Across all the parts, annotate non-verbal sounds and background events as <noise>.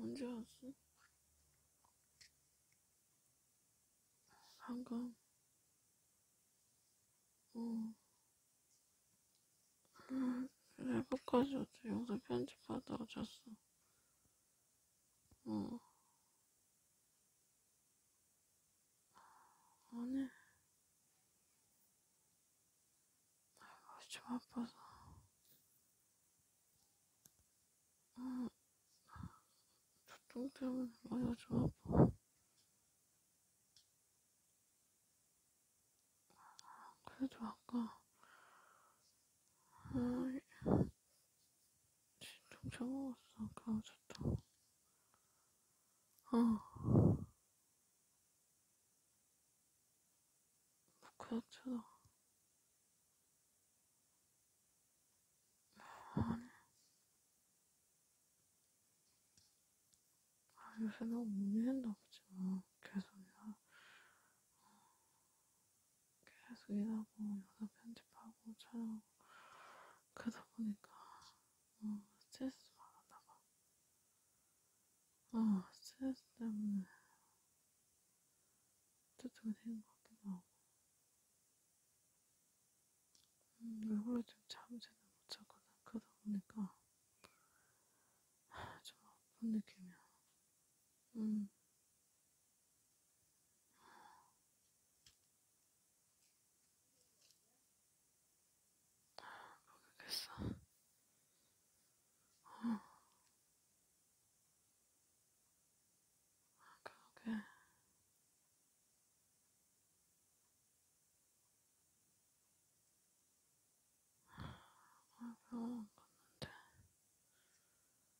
언제 왔어? 방금 어 음, 레버까지 왔어 영상 편집하다가 잤어 어. 오늘 날이 좀 아파서 응. 어. 두통 때문에 머리가 좀 아파 그래도 아까 응. 진짜 먹었어 그러셨다. 아. 그렇잖아. 아니. 아, 요새 너무 못는다 보지, 뭐. 계속, 야. 계속 일하고 영상 편집하고 촬영하고 그러다 보니까 어, 스트레스 받았나 봐. 어, 스트레스 때문에 저쪽에 되는 것 같기도 하고. 음, 얼굴로 좀 잠을 제대로 못 잤거든. 그러다 보니까 좀 아픈 느낌이야. 음. 모르겠어. 어. 그러게. 아, 병원 갔는데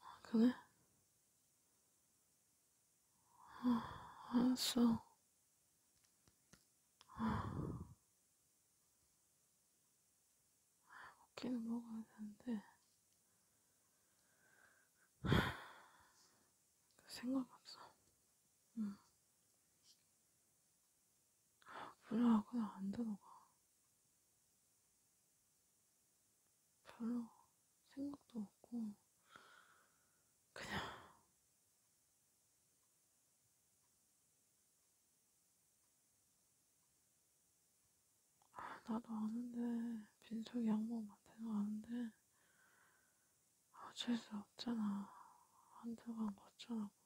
아, 그래? 아, 알았어. 아, 먹기는 먹어야 되는데. 그 생각 없어. 응. 불나하거나 안 들어가. 별로 생각도 없고, 그냥, 아, 나도 아는데, 빈속이 악몽 같아서 아는데, 어쩔 수 없잖아. 한두 번 거쳐놓고.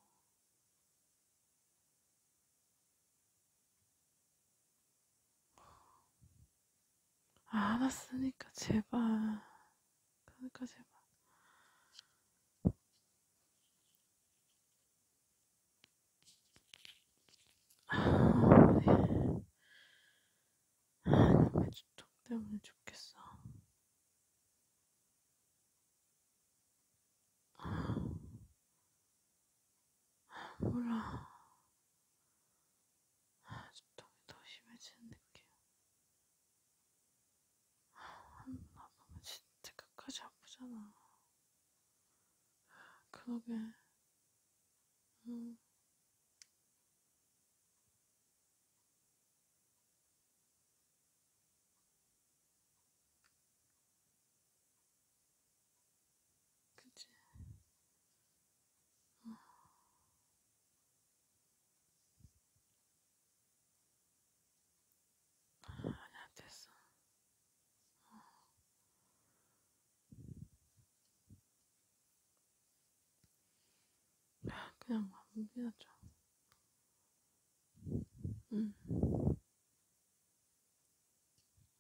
알았으니까 제발 그러니까 제발 아놈의 주통 때문에 죽겠어 몰라. 두통이 더 심해지는 느낌. 한번 아프면 진짜 끝까지 아프잖아. 그러게. 응. 음. 그치? 어. 아니야, 됐어. 어. 그냥 마무리하자. 응.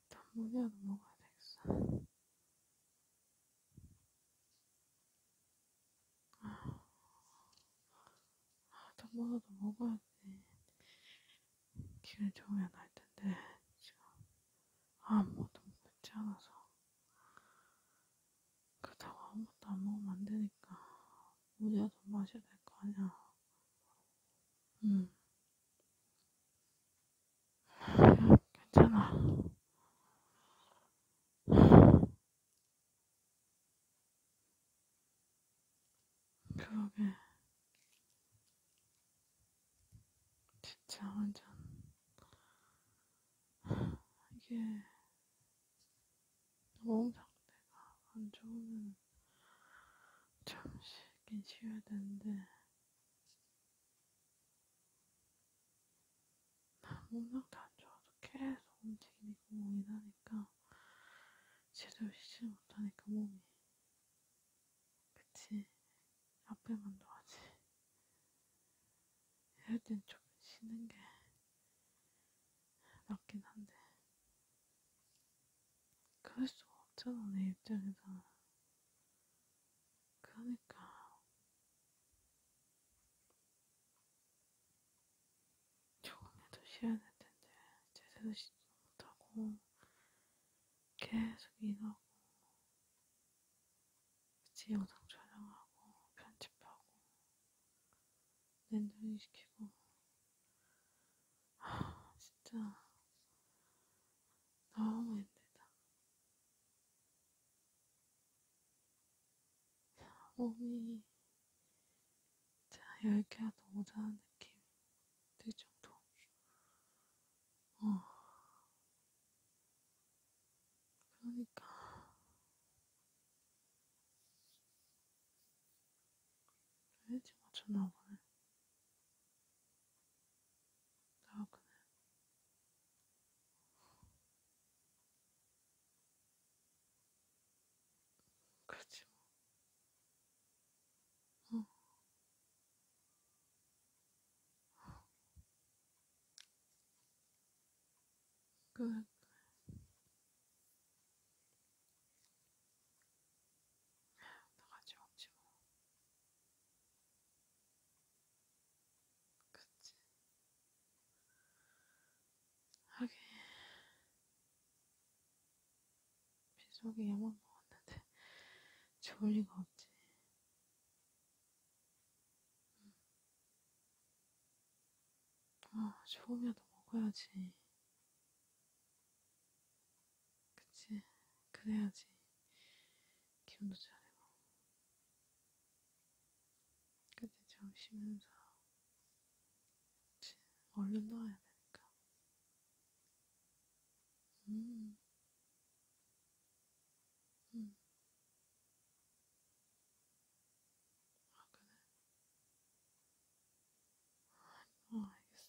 단무지라도 먹어야 되겠어. 아, 아 단무지라도 먹어야지. 기분 좋으면 할 텐데, 지금 아무것도 먹지 않아서. 그렇다고 아무것도 안 먹으면 안 되니까, 우리가 좀 마셔야 될 거 아니야. 응. 음. 괜찮아. 그러게. 진짜 완전. 이게. 몸 상태가 안 좋으면 참 쉬긴 쉬어야 되는데. 몸상태 안 좋아서 계속 움직이니까 몸이 나니까 제대로 쉬지 못하니까 몸이 그치 앞에만 놓아지 이럴 땐좀 쉬는 게 낫긴 한데 그럴 수가 없잖아 내 입장에서 그러니까 조금이라도 쉬어야 될 텐데 제대로 쉬지도 못하고 계속 일하고 같이 영상 촬영하고 편집하고 렌더링 시키고 아 진짜 너무 힘들다. 몸이 자 열기가 너무 자는 느낌이 들 정도. 어. 그러니까. 일찍 맞췄나 보네. 나오구나. 그렇지 뭐. 어. 어. 그래. 나같이 먹지 뭐. 그치? 하긴 빗속에 야만 먹었는데 <laughs> 좋을 리가 없지. 응. 음. 아, 조금이라도 먹어야지. 그치? 그래야지 기분도 잘해고 그때 좀 쉬면서 그치? 얼른 나와야 되니까 음. 음. 아, 그래? 어, 알겠어.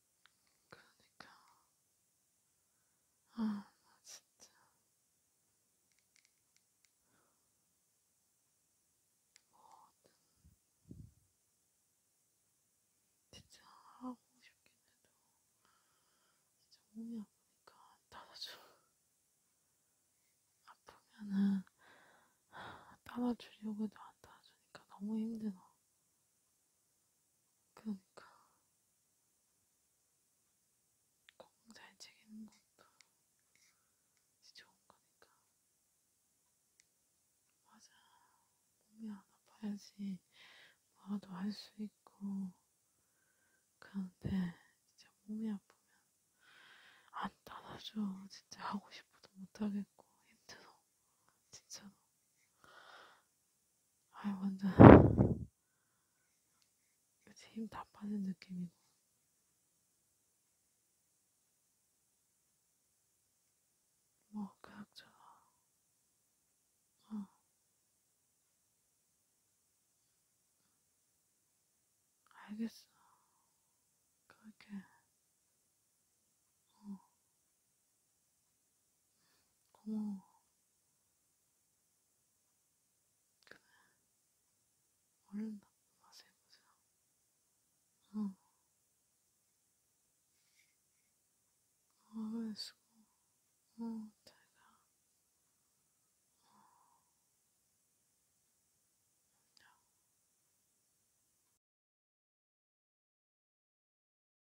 그러니까 아, 나 진짜 뭐든 진짜 하고 싶긴 해도 진짜 몸이 아프니까 따라줘. 아프면은 따라주려고 해도 안 따라주니까 너무 힘들어. 그러니까 공부 잘 챙기는 것도 좋은 거니까 맞아 몸이 안 아파야지 뭐라도 할 수 있고 그런데 진짜 몸이 아프면 안 따라줘 진짜 하고 싶어도 못하겠고 힘들어 진짜로. 아이, 완전. 힘다 빠진 느낌이고. 뭐, 그학자아 어. 알겠어. 그렇게. 어. 고마워. 그래. 얼른 나쁜 맛을 해보자. 어. 어, 수고. 어, 잘 가. 어. 안녕.